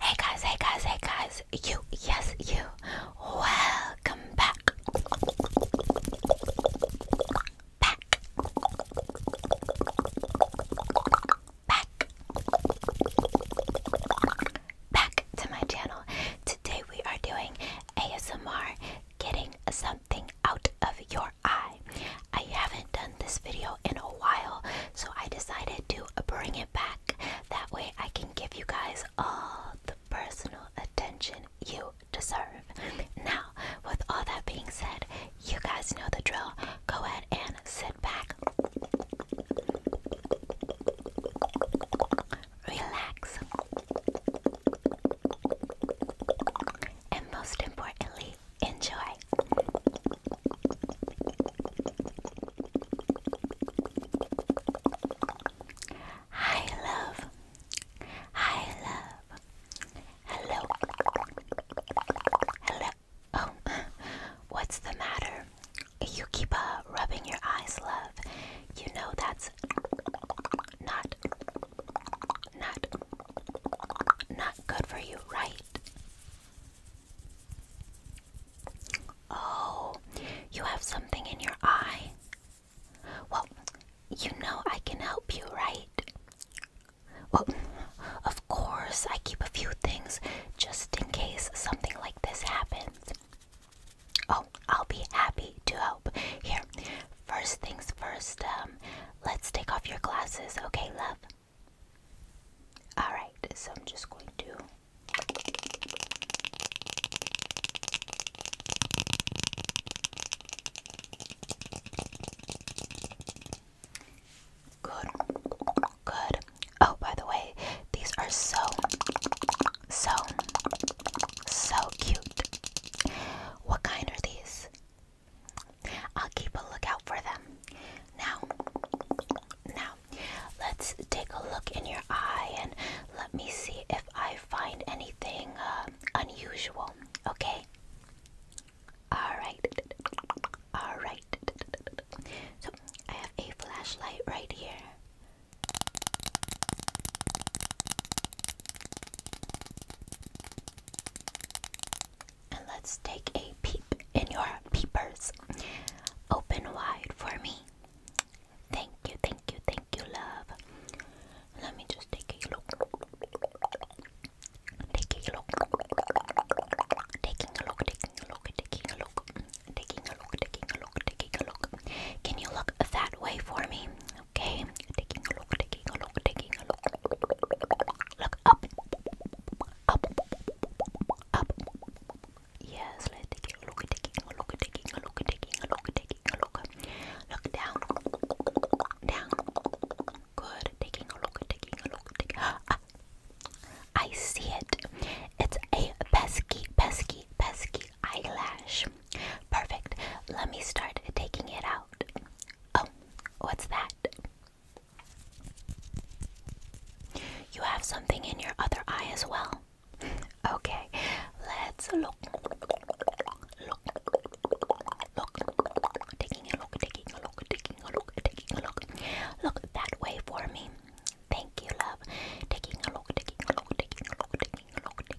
Hey guys, hey guys, hey guys, you, yes, you, welcome back. Back. Back. Back to my channel. Today we are doing ASMR getting something out of your your I haven't done this video in a while, so I decided to bring it back. That way, I can give you guys all the personal attention you deserve. Now, with all that being said, you guys know the drill. Go ahead and sit back, relax, and most importantly, Enjoy. Hi, love. Hi, love. Hello. Hello. Oh, what's the matter? You keep uh, rubbing your eyes, love. You know that's not not not good for you, right? Oh, you have something in your eye. Well, you know I can help you, right? Well, of course, I keep a few things just in case something like this happens. Oh, I'll be happy to help. Here, first things first, um, Let's take off your glasses, okay, love? Alright, so I'm just going to. Good. Good. Oh, by the way, these are so, so, so cute. What kind are these? I'll keep a lookout for them. Now, now, let's take a look in your eye and let me see if I find anything uh, unusual. Okay. All right. All right. So I have a flashlight right here. And let's take a peep in your peepers. Open wide for me. Thank you, thank you, thank you, love. Let me just take a look. Taking a look. Taking a look, taking a look, taking a look. Taking a look, taking a look, taking a look. Can you look that way for me? Okay, look, up, up, up. Yes, let's take a look, taking a taking a taking a taking a look. down, down. Good, taking a taking a taking. Ah, I see it. It's a pesky, pesky, pesky eyelash. Perfect. Let me start taking it out. Oh, What's that? You have something in your other eye as well. Okay, let's look. Look. Look. Taking a look, taking a look, taking a look, taking a look. Look that way for me. Thank you, love. Taking a look, taking a look, taking a look, taking a look,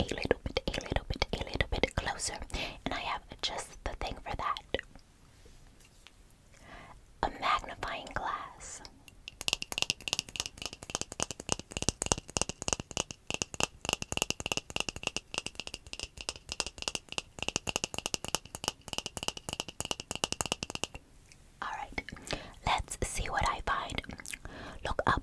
a little bit, a little bit, a little bit closer. And I have just the thing for that. A magnifying glass. Alright, let's see what I find. Look up.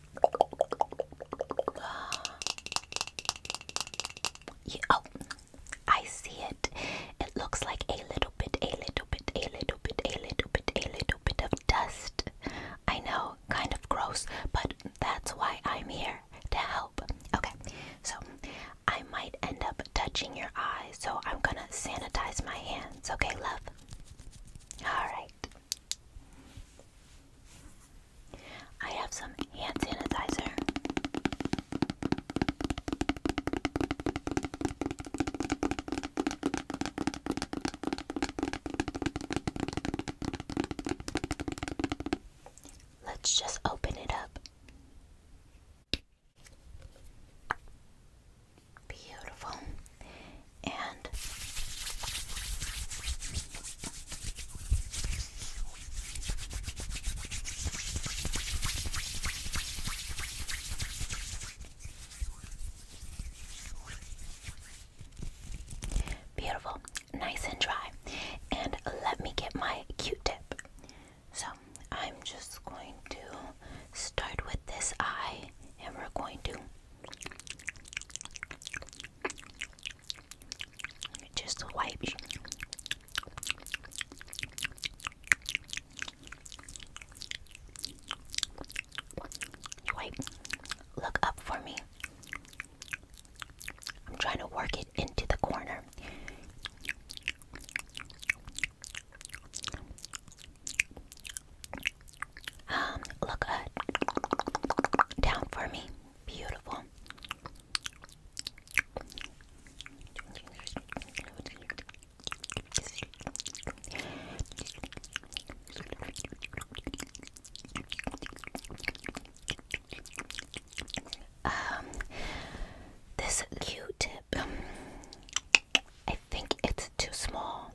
oh, I see it. It looks like a little bit, a little bit, a little bit, a little bit, a little bit of dust. I know, kind of gross, but that's why I'm here to help. Okay, so I might end up touching your eyes, so I'm gonna sanitize my hands, okay, love? Alright. I have some hand sanitizer. Let's just open it up. Beautiful. And Beautiful, nice and dry. And let me get my Q tip. So I'm just going to start with this eye and we're going to just the wipe. Look up for me. I'm trying to work it into the corner. Um, look uh, down for me. Beautiful. Um, this Q-tip, um, I think it's too small.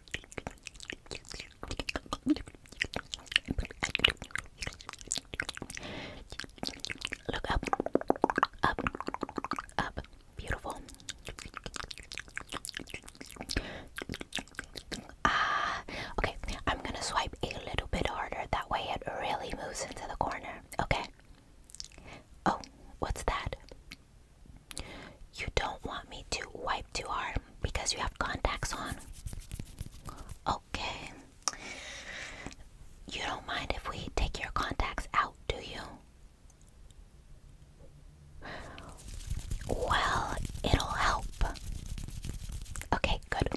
Look up, up, up. Beautiful. Ah, okay. I'm gonna swipe a little bit harder. That way, it really moves into the corner. Okay. Oh, what's that? You don't want me to wipe too hard because you have contacts on. Okay. You don't mind if we take your contacts out, do you? Well, it'll help. Okay, good.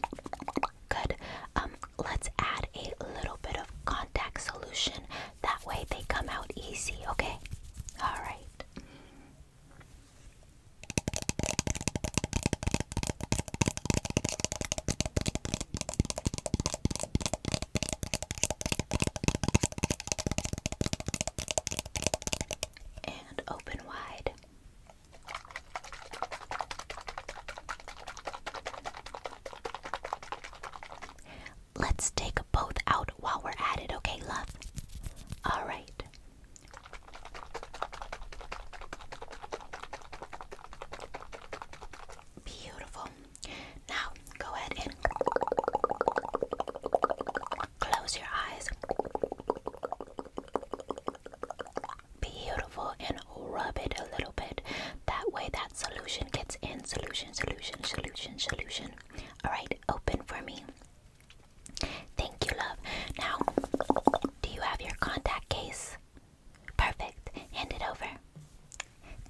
Good. Um, let's add a little bit of contact solution that way they come out easy, okay? Alright. And open wide. Let's take both out while we're at it, okay, love? Alright. Beautiful. Now, go ahead and close your eyes. Beautiful, and rub it a little bit. That way, that solution gets in. Solution, solution, solution, solution. Alright, open for me. Thank you, love. Now, do you have your contact case? Perfect. Hand it over.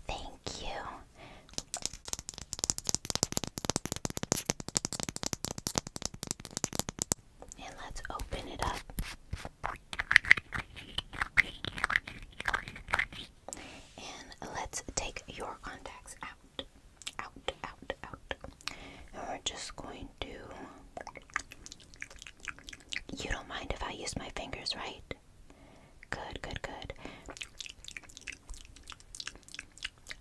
Thank you. And let's open it up. And let's take your contacts out, out, out, out. And we're just going to. You don't mind if I use my fingers, right? Good, good, good.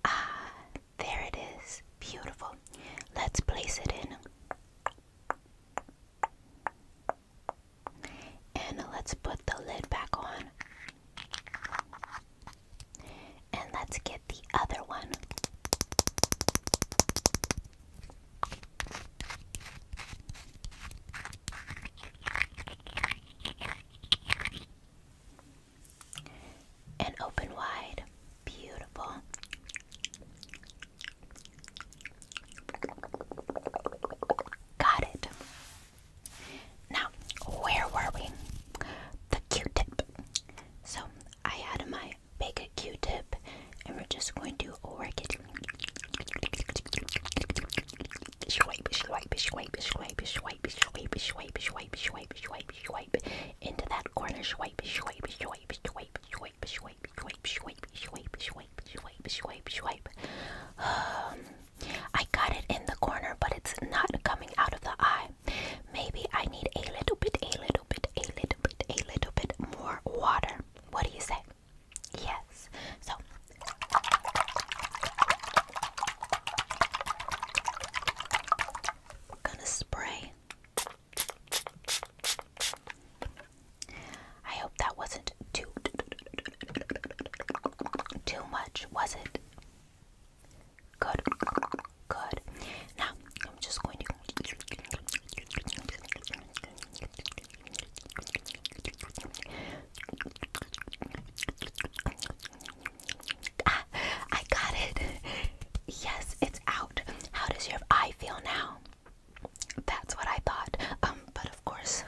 Ah, there it is. Beautiful. Let's place it in. And let's put the lid back on. And let's get the other one. And open wide. Beautiful. Got it. Now, where were we? The Q-tip. So I had my big Q-tip, and we're just going to work it. Swipe, swipe, swipe, swipe, swipe, swipe, swipe, swipe, swipe, swipe, swipe, into that corner. Swipe, swipe, swipe, swipe, swipe, swipe, swipe, swipe, swipe, swipe, swipe, swipe, swipe. I got it in the corner, but it's not coming out of the eye. Maybe I need a little bit, a little bit, a little bit, a little bit more water. What do you say? Yes. So. We're gonna spray I hope that wasn't too too much, was it? Good, good. Now I'm just going to ah, I got it. Yes, it's out. How does your eye feel now? That's what I thought. Um, but of course,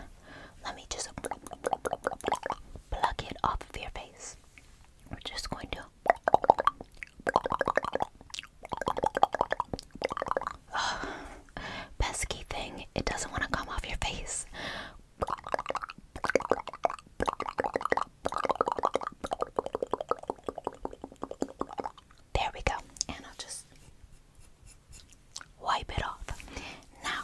let me just pluck it off of your face. We're just going to. pesky thing, it doesn't want to come off your face. There we go. And I'll just wipe it off. Now,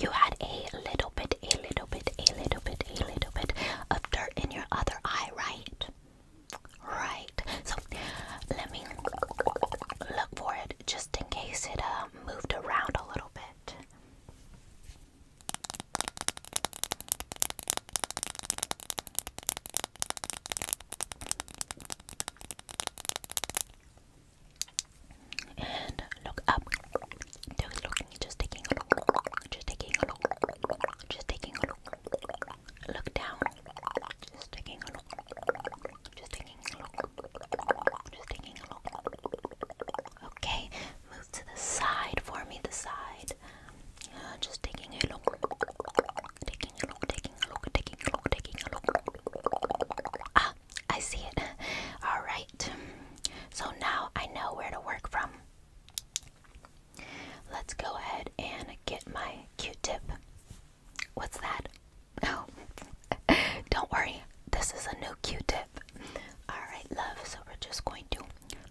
you had a little bit, a little bit, a little bit, a little bit of dirt in your other eye, right? Right. So let me look for it just in case it uh, moved around a little bit and look up. Just taking a look, just taking a look, just taking a look. Look down, just taking a look, just taking a look, just taking a look. Okay, move to the side for me. The side, uh, just taking a look, Ah, I see it. Alright, so now I know where to work from. Let's go ahead and get my q tip. What's that? oh. don't worry, this is a new q tip. Alright, love, so we're just going to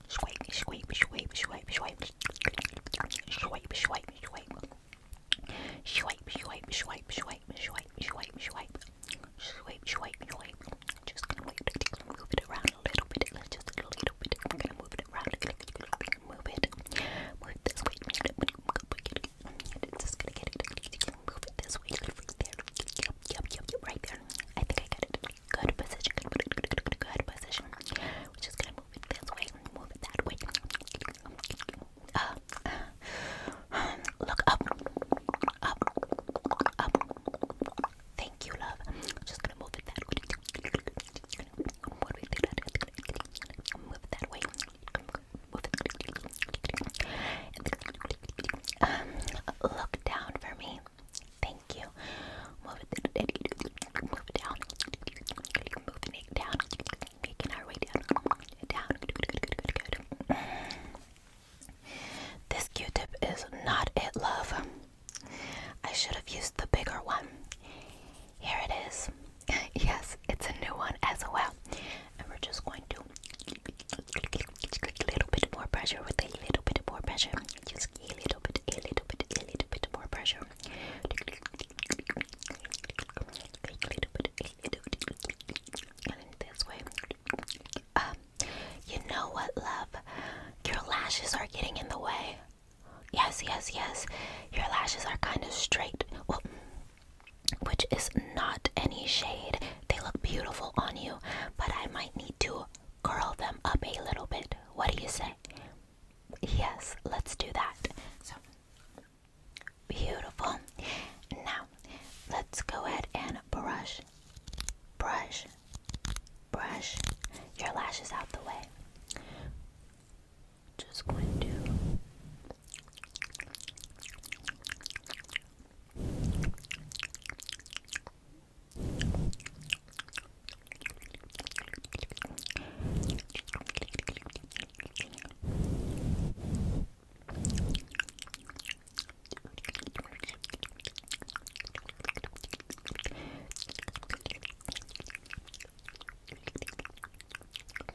swipe, swipe, swipe, swipe, swipe, swipe, swipe, swipe, swipe. Swipe, swipe, swipe, swipe, swipe, swipe, swipe, swipe, swipe, swipe. Just gonna move it, move it around a little bit. Let's just a little bit. I'm gonna move it around. Move it. Move it this way. It's just gonna get it. Move it this way. Right there. Yep, yep, yep, yep. Right there. I think I got it. Good position. Good, good, good, good, good position. We're just gonna move it this way, move it that way. Uh, look up, up, up. Thank you, love. I'm just gonna move it that way. Move it that way. Move it. look down for me. Thank you. Move it down. Move it down, making our way down, down. This Q-tip is not it, love. I should have used the bigger one. Here it is. yes, it's a new one as well. And we're just going to a little bit more pressure with a little bit more pressure. Just a little bit, a little bit, a little bit more pressure this way. Um, you know what, love? Your lashes are getting in the way. Yes, yes, yes. Your lashes are kind of straight. which is not any shade. They look beautiful on you, but I might need to curl them up a little bit. What do you say? Yes, let's do that. So beautiful. Now, let's go ahead and brush, brush, brush your lashes out the way. Just going to.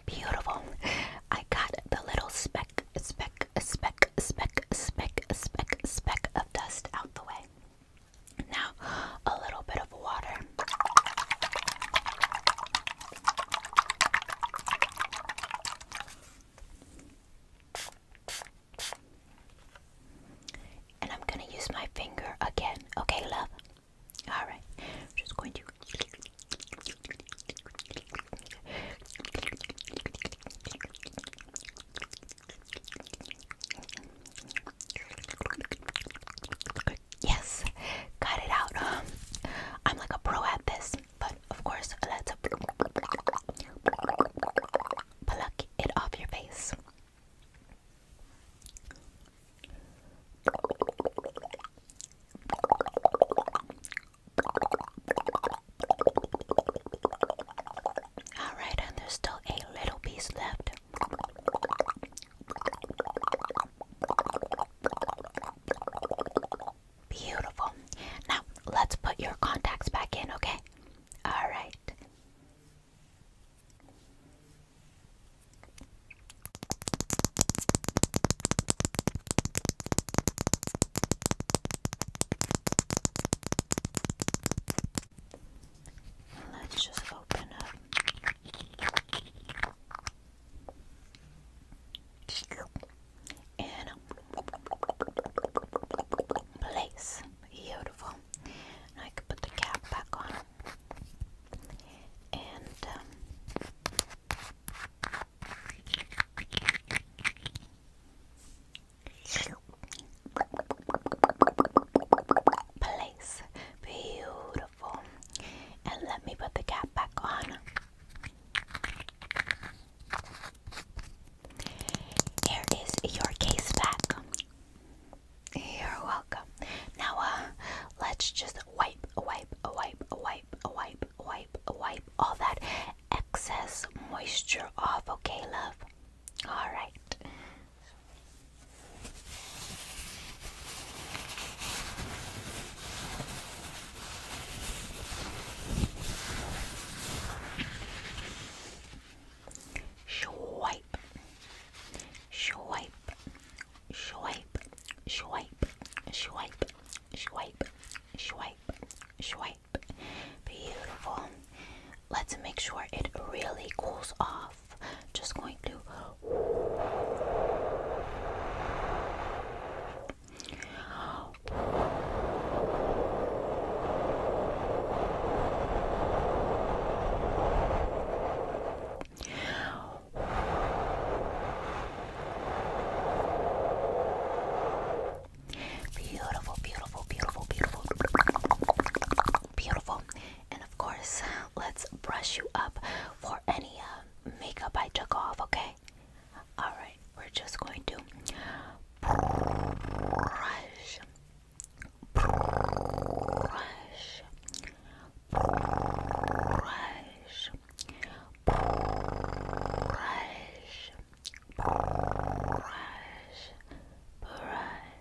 Beautiful. I got the little speck, speck, speck, speck, speck, speck, speck of dust out the way. Now, a little bit of water. And I'm going to use my finger again. Okay, love? Alright. just going to. Yes, got it out. I'm like a pro at this, but of course, let's pluck it off your face. All right, and there's still a little piece left. Beautiful. Now, let's put your contacts back in, okay? All right. Let's just open up and place. Beautiful. I can put the cap back on. And um, place. Beautiful. And let me put the cap back on. Here is your case back. You're welcome. Now, uh, let's just wipe, wipe, wipe, wipe, wipe, wipe, wipe all that excess moisture off, okay, love? All right. Swipe, swipe, swipe, swipe, swipe, swipe, swipe, swipe. Beautiful let's make sure it really cools off. Just going to Beautiful, beautiful, beautiful, beautiful beautiful. And of course, let's brush you up for any uh, makeup I took off, okay? Alright, we're just going to brush, brush, brush, brush, brush, brush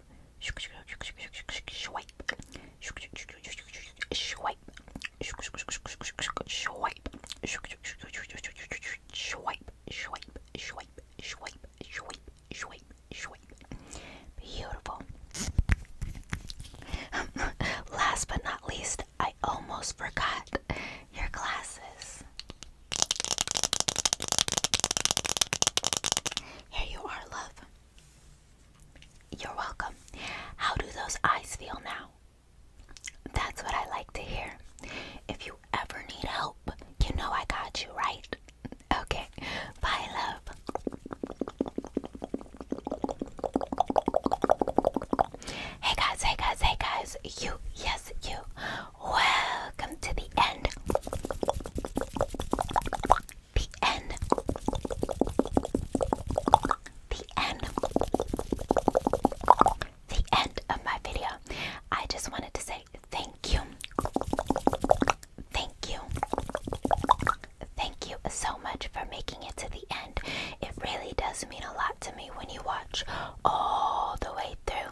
Beautiful. Last but not least, I almost forgot your glasses. Here you are, love. You're welcome. How do those eyes feel now? That's what I like to hear. If you ever need help, you know I got you, right? Okay. Bye, love. Hey guys, hey guys, hey guys. You, yes, you Welcome to the end. The end. The end. The end of my video. I just wanted to say thank you. Thank you. Thank you so much for making it to the end. It really does mean a lot to me when you watch all the way through.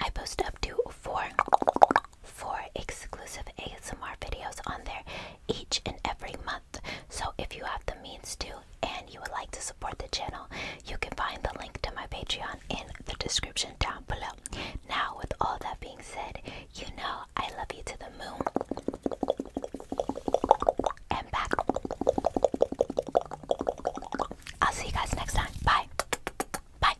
I post up to four four exclusive ASMR videos on there each and every month. So if you have the means to and you would like to support the channel, you can find the link to my Patreon in the description down below. Now with all that being said, you know I love you to the moon and back. I'll see you guys next time. Bye. Bye.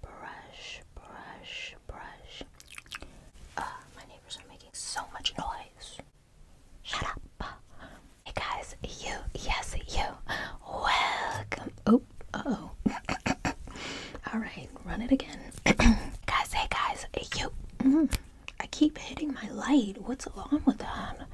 Brush, brush, brush. Uh, my neighbors are making so much noise. Shut up. Hey guys, you, yes, you. Welcome. Oh, uh oh. Alright, run it again. guys, hey guys, you. Mm, I keep hitting my light. What's wrong with them?